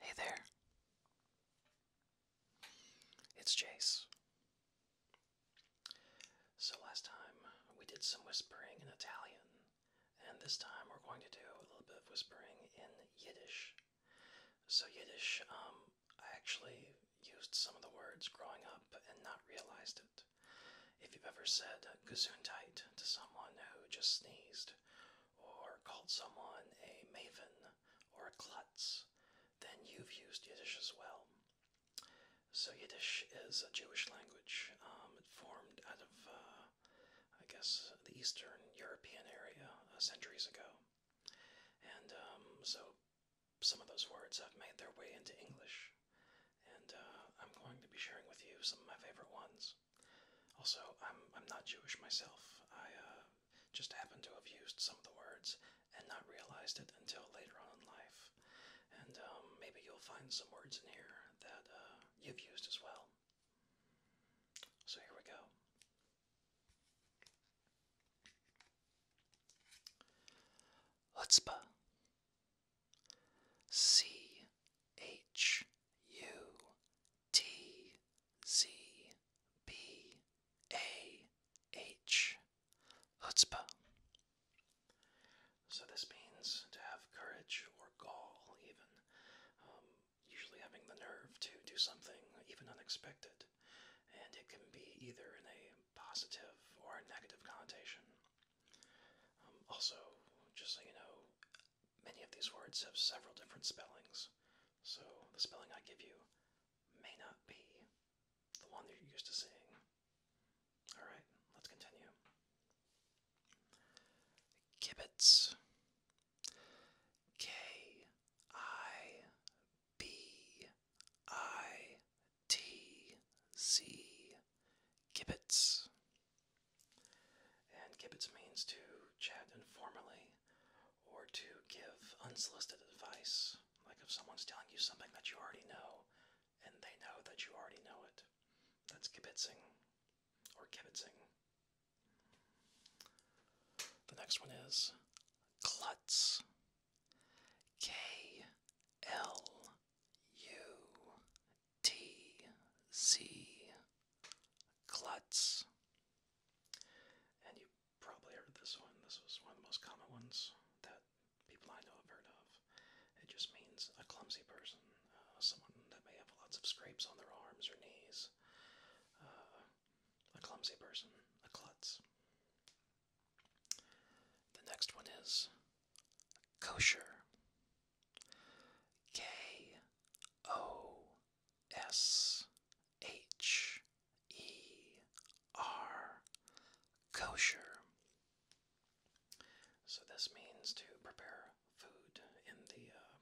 Hey there. It's Chase. So last time we did some whispering in Italian, and this time we're going to do a little bit of whispering in Yiddish. So Yiddish, um, I actually used some of the words growing up and not realized it. If you've ever said gesundheit to someone who just sneezed or called someone a maven or a klutz, then you've used Yiddish as well. So Yiddish is a Jewish language. Um, formed out of, uh, I guess, the Eastern European area uh, centuries ago, and um, so some of those words have made their way into English. And uh, I'm going to be sharing with you some of my favorite ones. Also, I'm I'm not Jewish myself. I uh, just happen to have used some of the words and not realized it until later on in life. And um, maybe you'll find some words in here that uh, you've used as well. So here we go. Chutzpah. C H U T Z B A H. Hutzpah. So this means to have courage or gall, even. Um, usually having the nerve to do something even unexpected. And it can be either in a positive or a negative connotation. Um, also, just so you know, Many of these words have several different spellings, so the spelling I give you may not be the one that you're used to seeing. Alright, let's continue. Kibbutz. K I B I T Z. Kibbutz. And gibbets means to chat informally or to give unsolicited advice, like if someone's telling you something that you already know and they know that you already know it. That's kibitzing or kibitzing. The next one is klutz. K L U T Z Clutz, And you probably heard this one. This was one of the most common ones that people I know have heard of. It just means a clumsy person, uh, someone that may have lots of scrapes on their arms or knees. Uh, a clumsy person, a clutz. The next one is kosher. K O S H E R kosher. So this means to prepare food in the uh,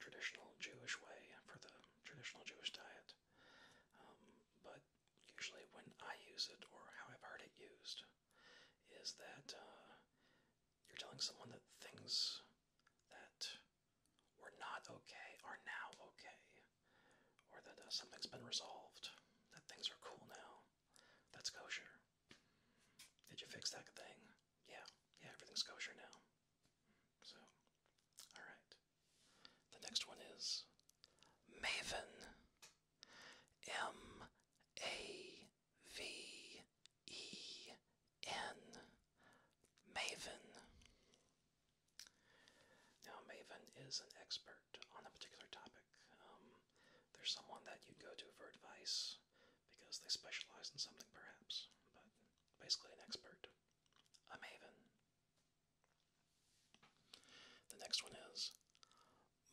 traditional Jewish way for the traditional Jewish diet. Um, but usually, when I use it or how I've heard it used, is that uh, you're telling someone that things that were not okay are now okay, or that uh, something's been resolved, that things are cool now. That's kosher. Did you fix that thing? Yeah, yeah, everything's kosher now. So, alright. The next one is Maven. M A V E N Maven. Now, Maven is an expert on a particular topic. Um, there's someone that you would go to for advice because they specialize in something, perhaps, but basically an expert. A maven. The next one is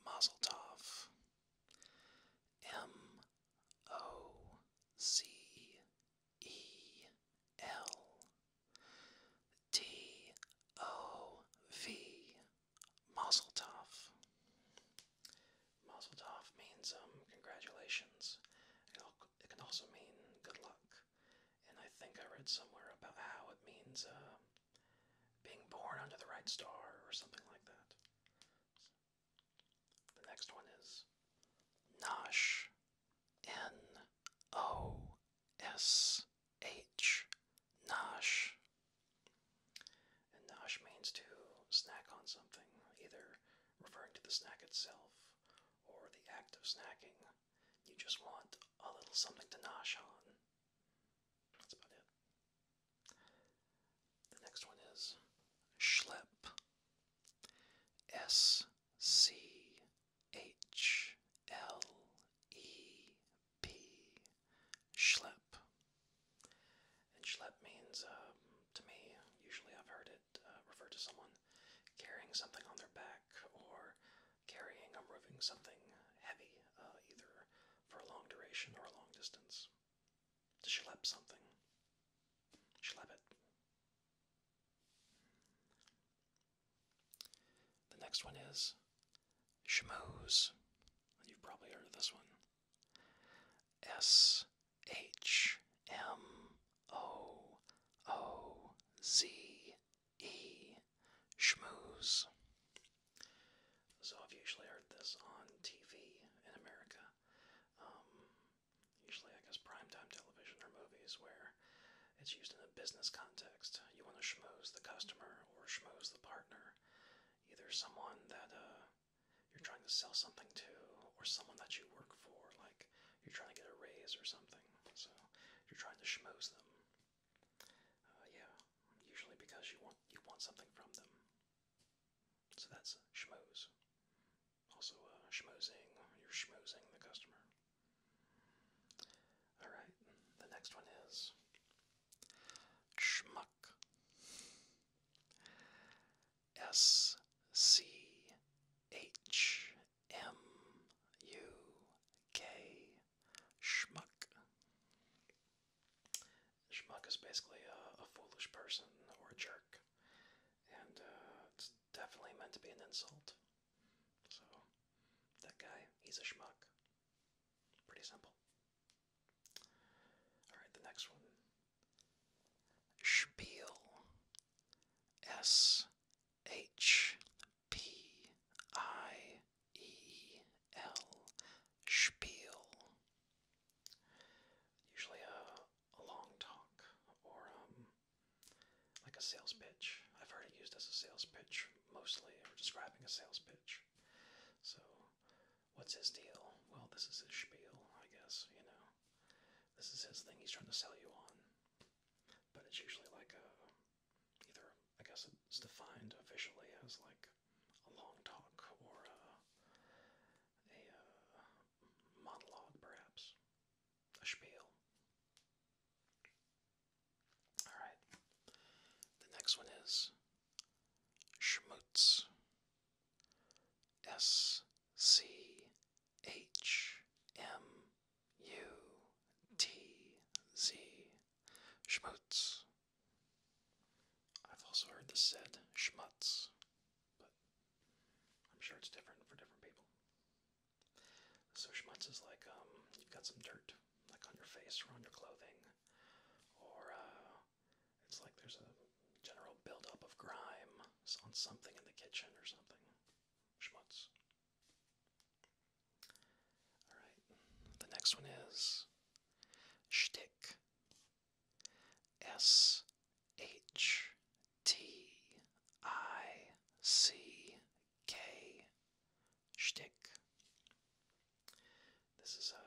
Mazel Tov. M O C E L T O V Mazeltov. Mazeltov means um, congratulations. It can also mean good luck. And I think I read somewhere about how it means uh, being born under the right star or something like that. The next one is Nosh. N O S H. Nosh. And nosh means to snack on something, either referring to the snack itself or the act of snacking. You just want a little something to nosh on. That's about it. The next one is Schlep. S C H L E P. Schlep. And schlep means, um, to me, usually I've heard it uh, referred to someone carrying something on their back or carrying or um, moving something heavy, uh, either for a long duration or a long distance. To schlep something. Schlep it. The next one is schmooze. You've probably heard this one. S H M O O Z E. Schmooze. So I've usually heard this on TV in America. Um, usually, I guess primetime television or movies where it's used in a business context. You want to schmooze the customer or schmooze the partner, either someone that uh, you're trying to sell something to or someone that you work for, like you're trying to get a raise or something. So you're trying to schmooze them. Uh, yeah, usually because you want you want something from them. So that's schmoes. Also, uh, you're schmoozing the customer. Alright, the next one is schmuck. S C H M U K schmuck. Schmuck is basically a, foolish person or a jerk, and uh, it's definitely meant to be an insult. So, that guy, he's a schmuck. Pretty simple. Alright, the next one. Spiel. S H P I E L. Spiel. Usually a, uh, a long talk or um, like a sales pitch. I've heard it used as a sales pitch mostly, or describing a sales pitch. So, what's his deal? Well, this is his spiel, I guess, you know. This is his thing he's trying to sell you on. But it's usually like a, either, I guess it's defined officially as like a long talk or uh, a uh, monologue, perhaps. A spiel. Alright. The next one is Schmutz. S C H M U T Z. Schmutz. I've also heard this said schmutz but I'm sure it's different for different people. So schmutz is like um, you've got some dirt, like on your face or on your clothing, or uh, it's like there's a general buildup of grime on something in the kitchen or something. Schmutz. All right. The next one is shtick. S H T I C K shtick. This is uh,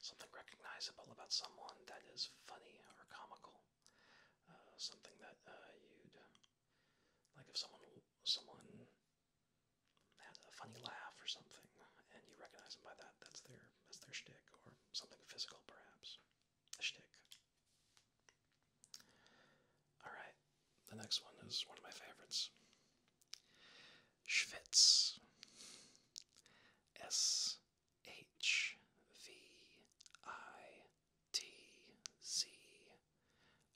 something recognizable about someone that is funny or comical. Uh, something that uh, you'd like if someone someone had a funny laugh or something, and you recognize them by that. That's their that's their shtick, or something physical perhaps. shtick. Alright, the next one is one of my favorites. Schwitz. S H V I T Z.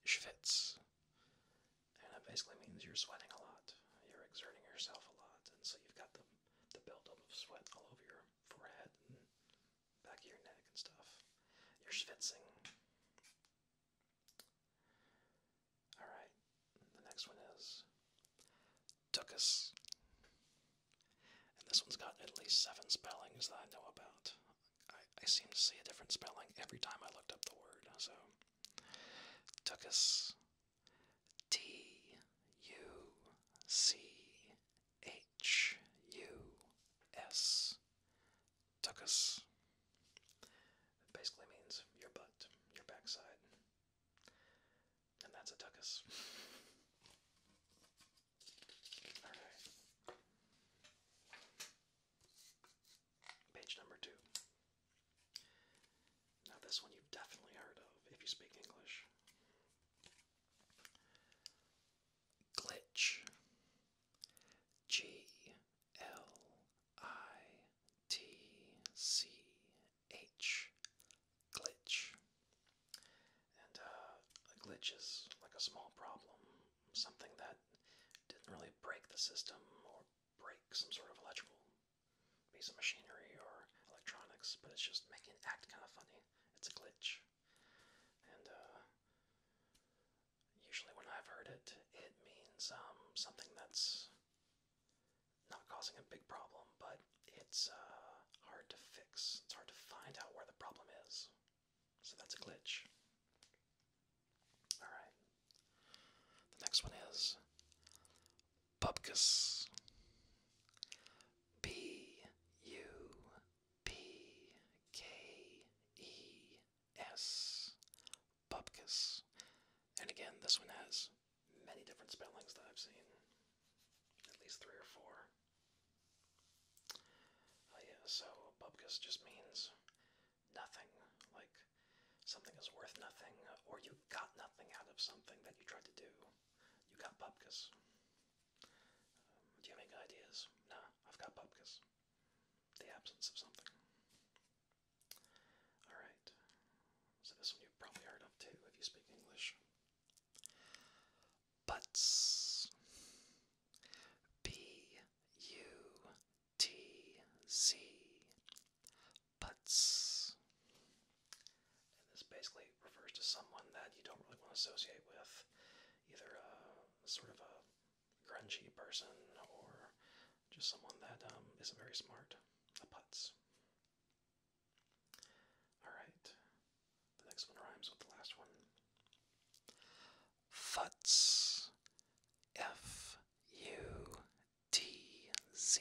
Schwitz. And that basically means you're sweating a lot. You're exerting yourself a lot, and so you've got the the buildup of sweat all over your forehead and back of your neck and stuff. You're schwitzing. Alright, the next one is Tuckus. And this one's got at least seven spellings that I know about. I, I seem to see a different spelling every time I looked up the word, so. Tuckus T U C H U S. Tuckus. It basically means your butt, your backside. And that's a tuckus. Alright. Page number two. Now, this one you've definitely heard of if you speak English. Glitch. G L I T C H. Glitch. And uh, a glitch is like a small problem, something that didn't really break the system or break some sort of electrical piece of machinery or electronics, but it's just making it act kind of funny. It's a glitch. And uh, usually when I've heard it, it means um, something that's not causing a big problem, but it's uh, hard to fix. It's hard to find out where the problem is. So that's a glitch. Alright. The next one is Bupkis. B U P K E S. Bupkis. And again, this one has many different spellings that I've seen. At least three or four. Oh, yeah, so Bupkis just means nothing. Like something is worth nothing, or you got nothing out of something that you tried to do. You got pupkas. Um, do you have any ideas? Nah, I've got pupkas. The absence of something. Alright. So this one you've probably heard of too if you speak English. Butts. B U T Z. Butts this basically refers to someone that you don't really want to associate with, either a uh, sort of a grungy person or just someone that um, not very smart, a putz. Alright, the next one rhymes with the last one. Futz. F U T Z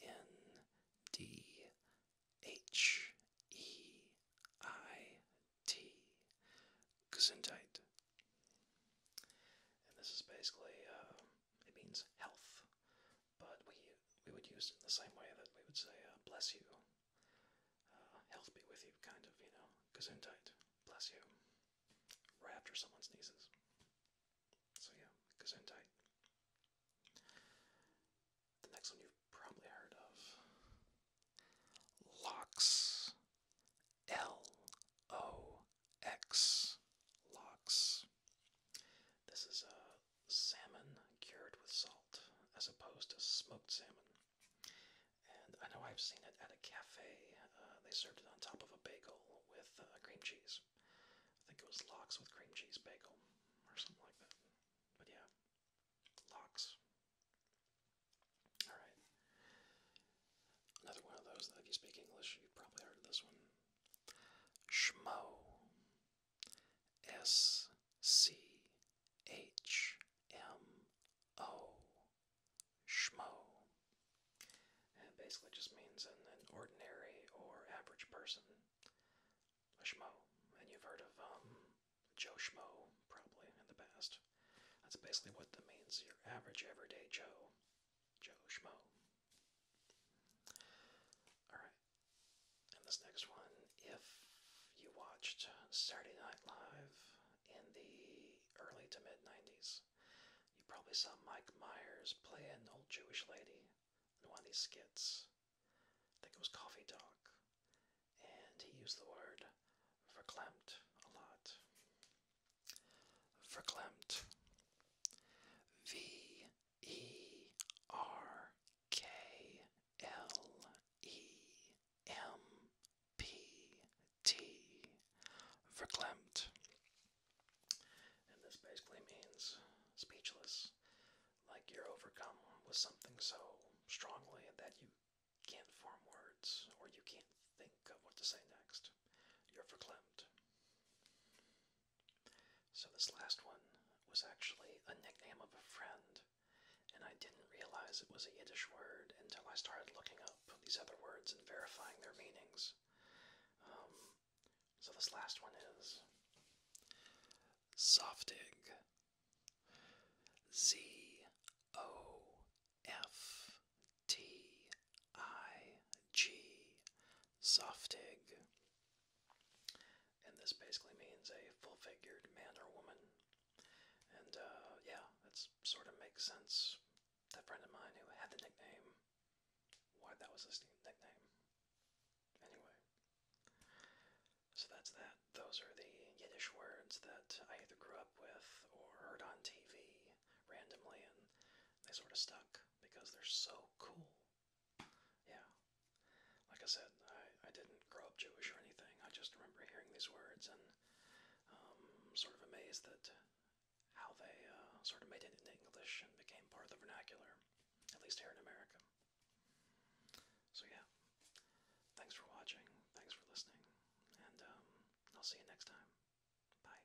N D H E I T. Gesundheit. And this is basically, uh, it means health, but we, we would use it in the same way that we would say, uh, bless you, uh, health be with you, kind of, you know, Gesundheit, bless you, right after someone sneezes. So yeah, Gesundheit. The next one you've probably heard of. Locks. L O X. Locks. This is a salmon cured with salt as opposed to smoked salmon. And I know I've seen it at a cafe. Uh, they served it on top of a bagel with uh, cream cheese. I think it was lox with cream cheese bagel or something like that. But yeah, lox. All right. Another one of those that if you speak English, you've probably heard of this one. Schmo. S C H M O. Schmo. It basically just means an, ordinary or average person. A schmo. And you've heard of um, Joe Schmo probably in the past. That's basically what that means. Your average everyday Joe. Joe Schmo. Alright. And this next one, if you watched Saturday Night Live in the early to mid 90s, you probably saw Mike Myers play an old Jewish lady in one of these skits. I think it was Coffee Talk. And he used the word verklempt a lot. Verklempt. V E R K L E M P T. Verklempt. And this basically means speechless. Like you're overcome with something so strongly that you can't form words or you can't think of what to say next. You're verklempt. So, this last one was actually a nickname of a friend, and I didn't realize it was a Yiddish word until I started looking up these other words and verifying their meanings. Um, so this last one is Zoftig. Z O F T I G. Zoftig. And this basically means a full figured man or woman. And uh, yeah, it sort of makes sense. That friend of mine who had the nickname why that was his nickname. Anyway, so that's that. Those are the Yiddish words that I either grew up with or heard on TV randomly, and they sort of stuck because they're so cool. Yeah. Like I said, I, I didn't grow up Jewish or anything. I just remember hearing these words and um, sort of amazed that how they uh, sort of made it in English and became part of the vernacular at least here in America. So, yeah, thanks for watching, thanks for listening, and um, I'll see you next time. Bye.